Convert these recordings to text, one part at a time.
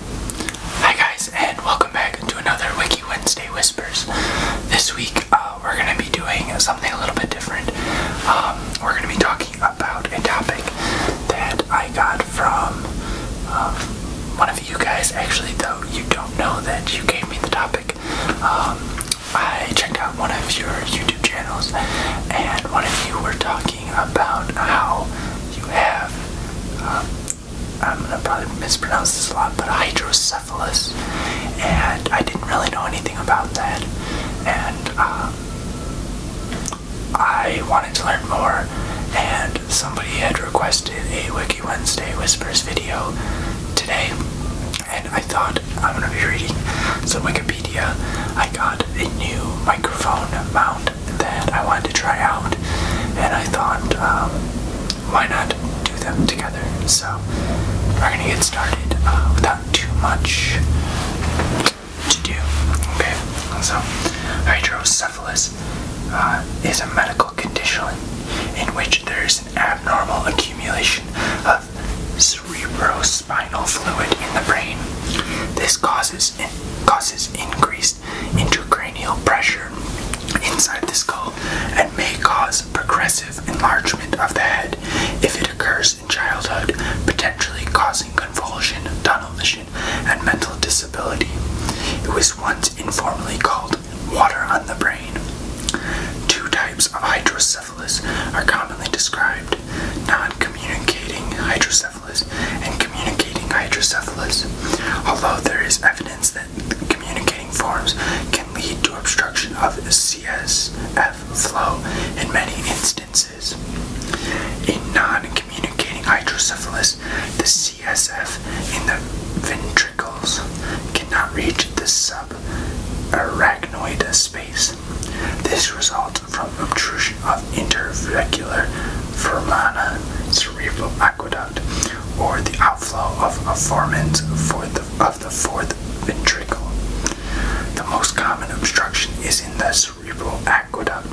Hi guys, and welcome back to another Wiki Wednesday Whispers. This week, uh, we're going to be doing something a little bit different. Um, we're going to be talking about a topic that I got from um, one of you guys. Actually, though, you don't know that you gave me the topic. Um, I checked out one of your YouTube channels, and one of you were talking about how you have. I'm um, gonna probably mispronounce this a lot, but hydrocephalus, and I didn't really know anything about that, and um, I wanted to learn more, and somebody had requested a Wiki Wednesday Whispers video today, and I thought I'm gonna be reading some Wikipedia. I got a new microphone mount that I wanted to try out, and I thought, um, why not do them together? So we're gonna get started uh, without too much to do. Okay, so hydrocephalus uh, is a medical condition in which there is an abnormal accumulation of cerebrospinal fluid in the brain. This causes causes increased increased intracranial pressure inside the skull and may cause progressive enlargement of the head if it occurs in childhood, potentially causing convulsion, tunnel vision, and mental disability. It was once informally called water on the brain. Two types of hydrocephalus are commonly described non hydrocephalus and communicating hydrocephalus, although there is evidence that communicating forms can lead to obstruction of CSF flow in many instances. In non-communicating hydrocephalus, the CSF in the ventricles cannot reach the subarachnoid space. This results from obtrusion of interventricular foramina cerebral aqueduct, or the outflow of a foramens of the fourth ventricle. The most common obstruction is in the cerebral aqueduct.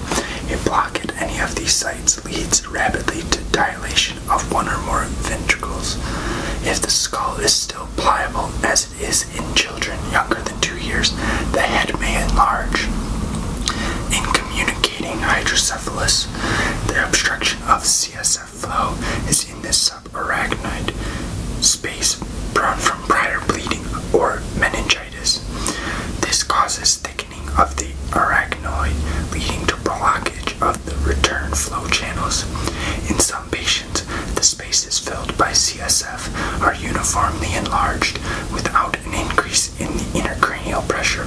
A block at any of these sites leads rapidly to dilation of one or more ventricles. If the skull is still pliable, as it is in children younger longer than two years, the head may enlarge. In communicating hydrocephalus, the obstruction of CSF flow is in the subarachnoid space from prior bleeding or meningitis. This causes thickening of the arachnoid, leading to blockage of the return flow channels. In some patients, the spaces filled by CSF are uniformly enlarged without an increase in the intracranial pressure.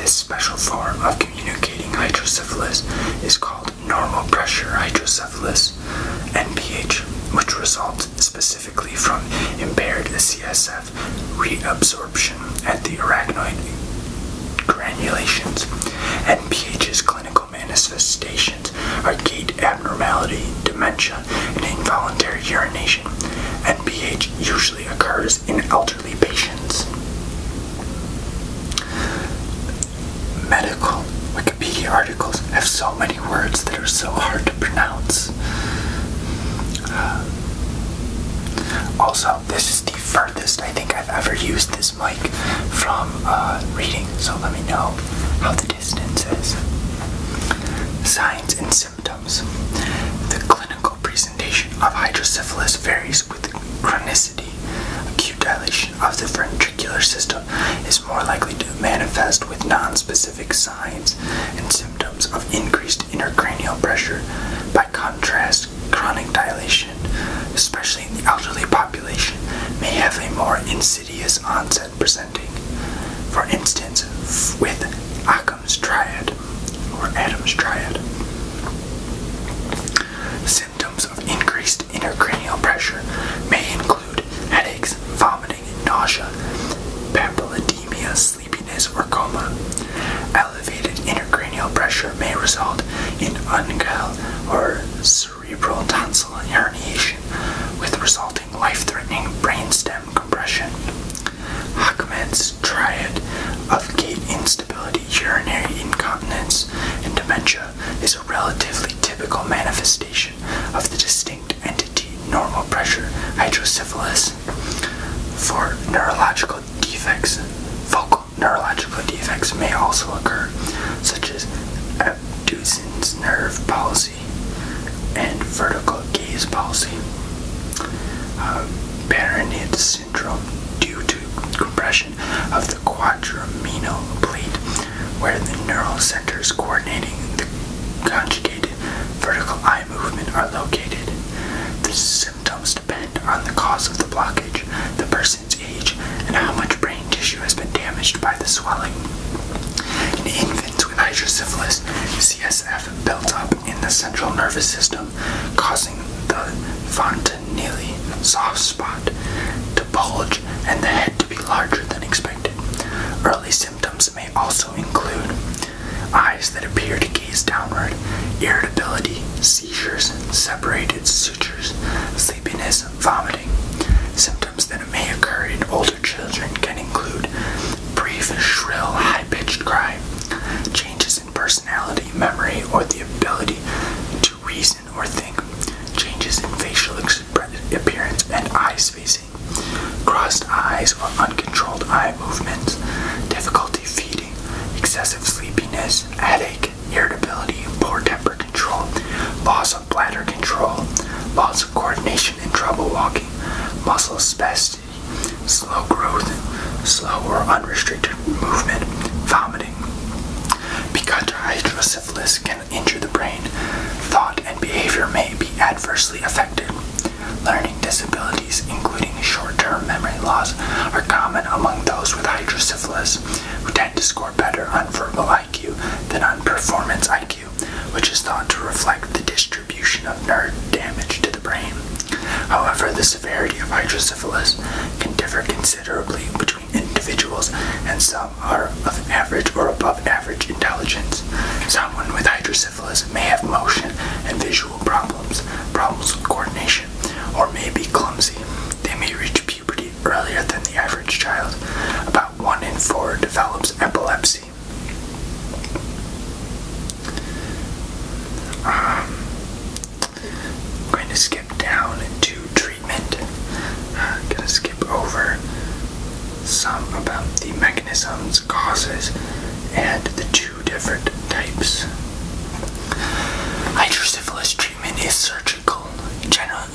This special form of communicating hydrocephalus is called normal pressure hydrocephalus, NPH, which results specifically from impaired CSF reabsorption at the arachnoid granulations. NPH's clinical manifestations are gait abnormality, dementia, and involuntary urination. NPH usually occurs in elderly patients. Medical Wikipedia articles have so many words that are so hard to pronounce. also, this is the furthest I think I've ever used this mic from uh, reading, so let me know how the distance is. Signs and symptoms. The clinical presentation of hydrocephalus varies with chronicity. Acute dilation of the ventricular system is more likely to manifest with nonspecific signs and symptoms of increased intracranial pressure. By contrast, chronic dilation, especially in the elderly population, may have a more insidious onset presenting, for instance, with Occam's triad or Adam's triad. Symptoms of increased intracranial pressure may include headaches, vomiting, nausea, papilledemia, sleepiness, or coma. Elevated intracranial pressure may result in uncal or cerebral tonsillar herniation, with resulting life-threatening brainstem compression. Hackman's triad of gait instability, urinary incontinence, and dementia is a relatively typical manifestation of the distinct entity normal pressure hydrocephalus. For neurological defects, focal neurological defects may also occur, such as abducens nerve palsy and vertical gaze palsy. Um, syndrome due to compression of the quadrimenal plate, where the neural centers coordinating the conjugated vertical eye movement are located. The symptoms depend on the cause of the blockage, the person's age, and how much brain tissue has been damaged by the swelling. In infants with hydrocephalus, CSF built up in the central nervous system, causing the fontanelli soft spot to bulge and the head to be larger than expected. Early symptoms may also include eyes that appear to gaze downward, irritability, seizures, separated sutures, sleepiness, vomiting symptoms that may occur in older children can include brief, shrill, high-pitched cry, changes in personality, memory, or the ability to reason or think, changes in facial expression, appearance and eye spacing, crossed eyes or uncontrolled eye movements, difficulty feeding, excessive sleepiness, headache, irritability, poor temper control, loss of bladder control, loss coordination and trouble walking, muscle spasticity, slow growth, slow or unrestricted movement, vomiting. Because hydrocephalus can injure the brain, thought and behavior may be adversely affected. Learning disabilities, including short-term memory loss, are common among those with hydrocephalus, who tend to score better on verbal than on performance IQ, which is thought to reflect the distribution of nerve damage to the brain. However, the severity of hydrocephalus can differ considerably between individuals, and some are of average or above average intelligence. Someone with hydrocephalus may have motion and visual problems, problems with coordination, or may be clumsy. They may reach puberty earlier than the average child. About 1 in 4 develops epilepsy. Um, I'm going to skip down to treatment. I'm uh, going to skip over some about the mechanisms, causes, and the two different types. Hydrocephalus treatment is surgical, generally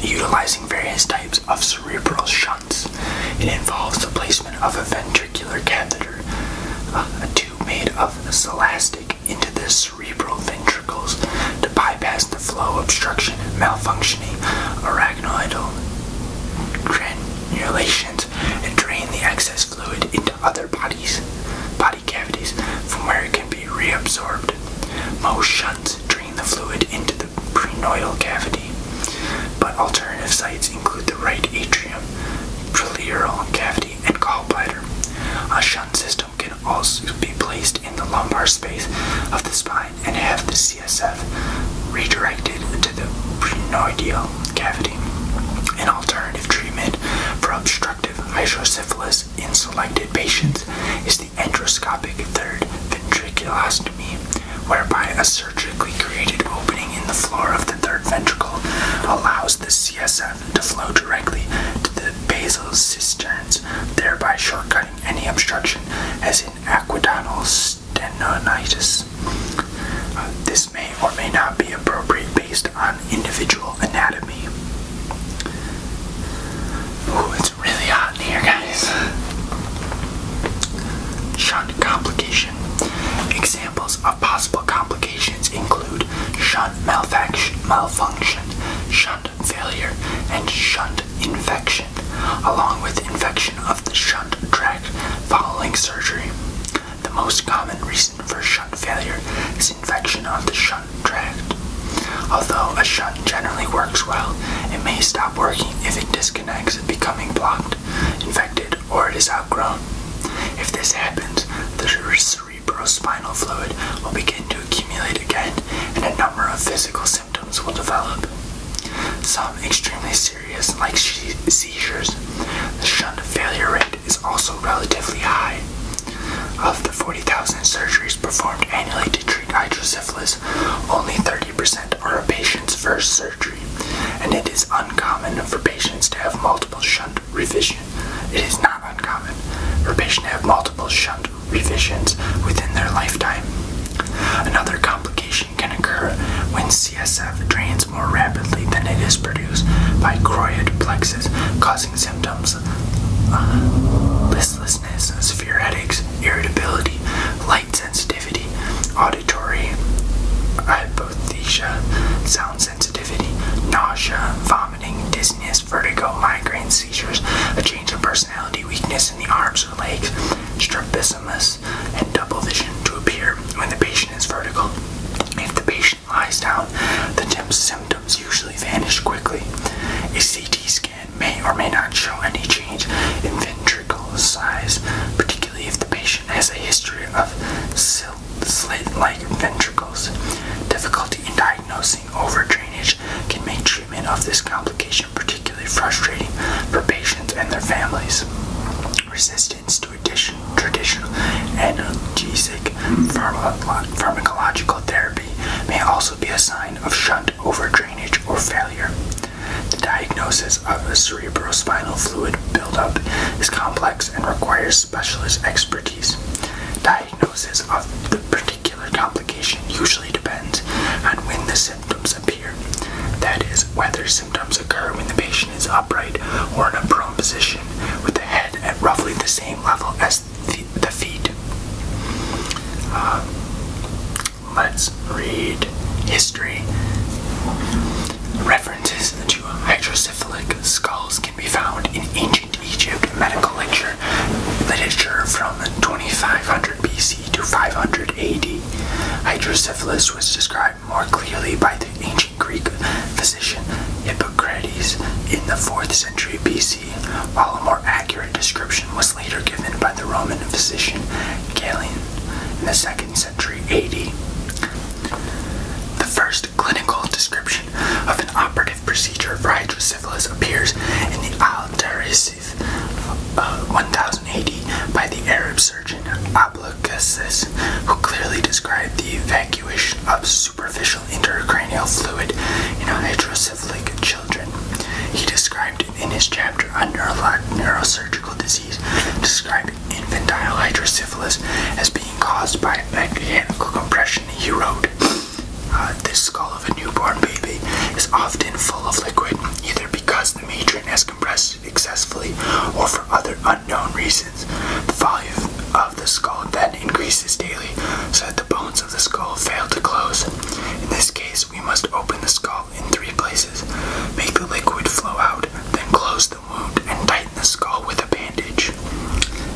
utilizing various types of cerebral shunts. It involves the placement of a ventricular catheter, uh, a tube made of celastic, into the cerebral ventricles to bypass the flow obstruction malfunctioning arachnoidal granulations and drain the excess fluid into other bodies, body cavities from where it can be reabsorbed. Most shunts drain the fluid into the the prenoidal cavity, but alternative sites include the right atrium, pleural cavity, and gallbladder. A shunt system can also be placed in the lumbar space of the spine and have the CSF redirected to the prenoidal cavity. An alternative treatment for obstructive hydrocephalus in selected patients is the endoscopic third ventriculostomy, whereby a surgically created opening in the floor of the third ventricle allows the CSF to flow directly to the basal cisterns, thereby shortcutting any obstruction, as in aqueductal stenosis. Uh, this may or may not be appropriate based on individual anatomy. Ooh, it's really hot in here, guys. Shunt complication. Examples of possible complications include shunt malfunction, malfunction, shunt failure, and shunt infection, along with infection of the shunt tract following surgery. The most common reason for shunt failure is infection of the shunt Although a shunt generally works well, it may stop working if it disconnects, becoming blocked, infected, or it is outgrown. If this happens, the cerebrospinal fluid will begin to accumulate again, and a number of physical symptoms will develop. Some extremely serious, like seizures, the shunt failure rate is also relatively high. Of the 40,000 surgeries performed annually to treat hydrocephalus, only 30% are a patient's first surgery, and it is uncommon for patients to have multiple shunt revision. It is not uncommon for patients to have multiple shunt revisions within their lifetime. Another complication can occur when CSF drains more rapidly than it is produced by choroid plexus, causing symptoms uh, listlessness, severe headaches, irritability, light sensitivity, auditory hypothesia, sound sensitivity, nausea, vomiting, dizziness, vertigo, migraines, seizures, a change of personality, weakness in the arms or legs, strabismus, and double vision to appear when the patient is vertical. If the patient lies down, the symptoms usually vanish quickly. A CT scan may or may not show any change in ventricle size, particularly if the patient has a history of slit-like ventricles. Difficulty in diagnosing overdrainage can make treatment of this complication particularly frustrating for patients and their families. Resistance to traditional analgesic pharmacological therapy may also also be a sign of shunt overdrainage or failure. The diagnosis of a cerebrospinal fluid buildup is complex and requires specialist expertise. Diagnosis of the particular complication usually depends on when the symptoms appear. That is, whether symptoms occur when the patient is upright or in a prone position with the head at roughly the same level as the feet. Uh, let's read history. References to hydrocephalic skulls can be found in ancient Egypt medical literature from 2500 BC to 500 AD. Hydrocephalus was described more clearly by the ancient Greek physician Hippocrates in the 4th century BC while a more accurate description was later given by the Roman physician Galen in the 2nd century AD. The first clinical description of an operative procedure for hydrocephalus appears in the Al-Tarisif uh, 1080 by the Arab surgeon Abulcasis, who clearly described the evacuation of superficial artificial fluid in hydrocephalic children. He described in his chapter on neurosurgical disease, describing infantile hydrocephalus as being caused by mechanical compression. He wrote, uh, "This skull of a newborn baby is often full of liquid, either because the matron has compressed it excessively, or for other unknown reasons. The volume of the skull then increases daily, so that the bones the skull fail to close. In this case, we must open the skull in three places, make the liquid flow out, then close the wound and tighten the skull with a bandage.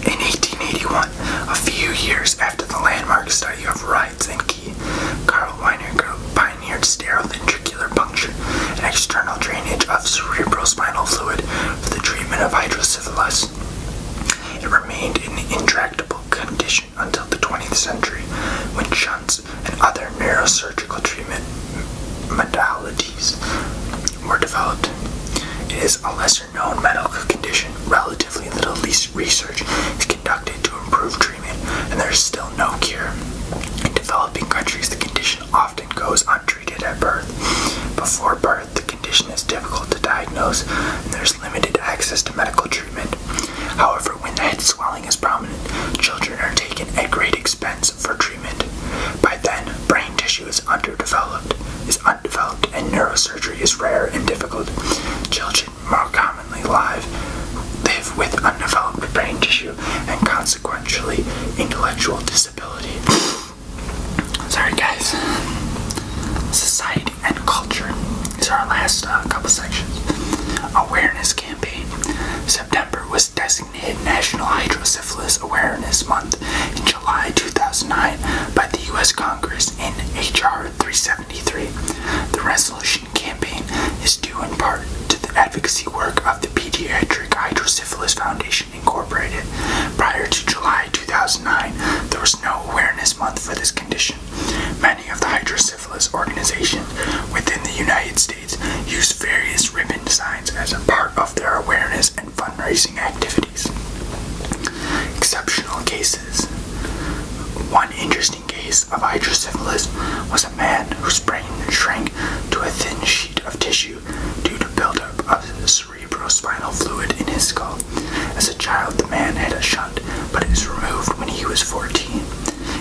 In 1881, a few years after the landmark study of Rides and Key, Carl Weininger pioneered sterile puncture, an external drainage of cerebrospinal fluid for the treatment of hydrocephalus it remained in intractable condition until the 20th century when shunts and other neurosurgical treatment modalities were developed. It is a lesser known medical condition, relatively little research is conducted to improve treatment, and there is still no cure. In developing countries, the condition often goes untreated treated at birth. Before birth, the condition is difficult to diagnose and there's limited access to medical treatment. However, when head swelling is prominent, children are taken at great expense for treatment. By then, brain tissue is underdeveloped, is undeveloped, and neurosurgery is rare and difficult. Children more commonly live live with undeveloped brain tissue and consequently intellectual disability. Sorry, guys. Society and culture. These are our last uh, couple sections. Awareness campaign. September was designated National Hydrocephalus Awareness Month in July 2009 by the U.S. Congress in H.R. 373. The resolution campaign is due in part to the advocacy work of the Pediatric Hydrocephalus Foundation. Incorporated. Prior to July 2009, there was no awareness month for this condition. Many of the hydrocephalus organizations within the United States use various ribbon designs as a part of their awareness and fundraising activities. Exceptional cases. One interesting case of hydrocephalus was a man whose brain shrank to a thin sheet of tissue due to buildup of cerebrospinal fluid in his skull. As a child, the man had a shunt, but it was removed when he was 14.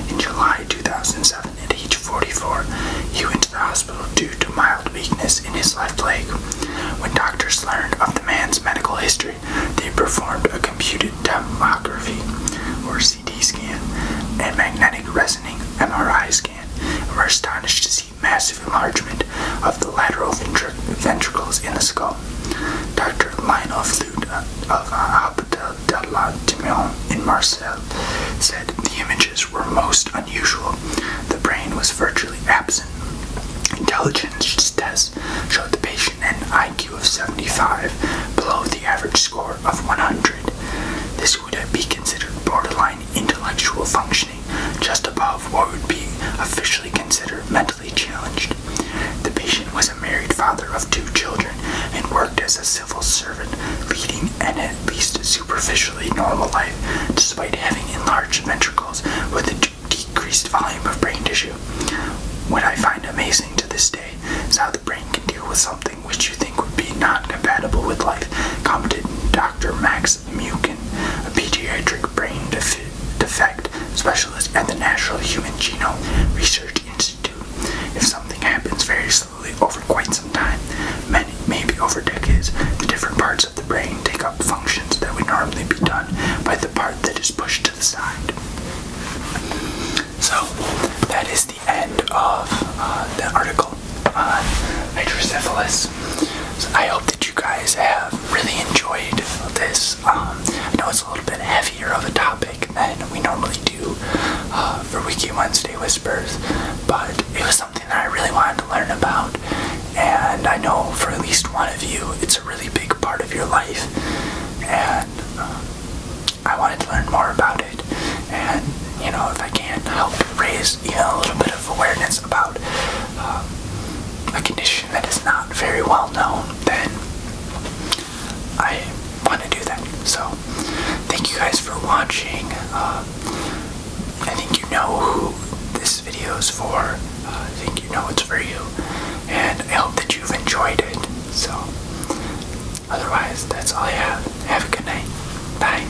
In July 2007, at age 44, he went to the hospital due to mild weakness in his left leg. When doctors learned of the man's medical history, they performed a computed tomography, or CT scan, and magnetic resonating MRI scan, and were astonished to see massive enlargement of the lateral ventricles in the skull. Dr. Lionel Flute of Hospital uh, de la Timon in Marseille said the images were most unusual. The brain was virtually absent. Intelligence tests showed the patient an IQ of 75, below the average score of 100. This would be considered borderline intellectual function just above what would be officially considered mentally challenged. The patient was a married father of two children and worked as a civil servant, leading an at least superficially normal life despite having enlarged ventricles with a decreased volume of brain tissue. What I find amazing to this day is how the brain can deal with something which you think would be not compatible with life, commented Dr. Max Mukin, a pediatric brain defect specialist at the National Human Genome Research Institute. If something happens very slowly over quite some time, many, maybe over decades, the different parts of the brain take up functions that would normally be done by the part that is pushed to the side. So, that is the end of uh, the article uh, hydrocephalus. I hope that you guys have really enjoyed this. Um, I know it's a little bit heavier of a topic than we normally do uh, for Wiki Wednesday Whispers, but it was something that I really wanted to learn about. And I know for at least one of you, it's a really big part of your life. And um, I wanted to learn more about it. And, you know, if I can help raise even a little bit of awareness about um, a condition that is not very well known, then I want to do that. So, thank you guys for watching. Um, I think you know who this video is for. Uh, I think you know it's for you, and I hope that you've enjoyed it. So, otherwise, that's all I have. Have a good night. Bye.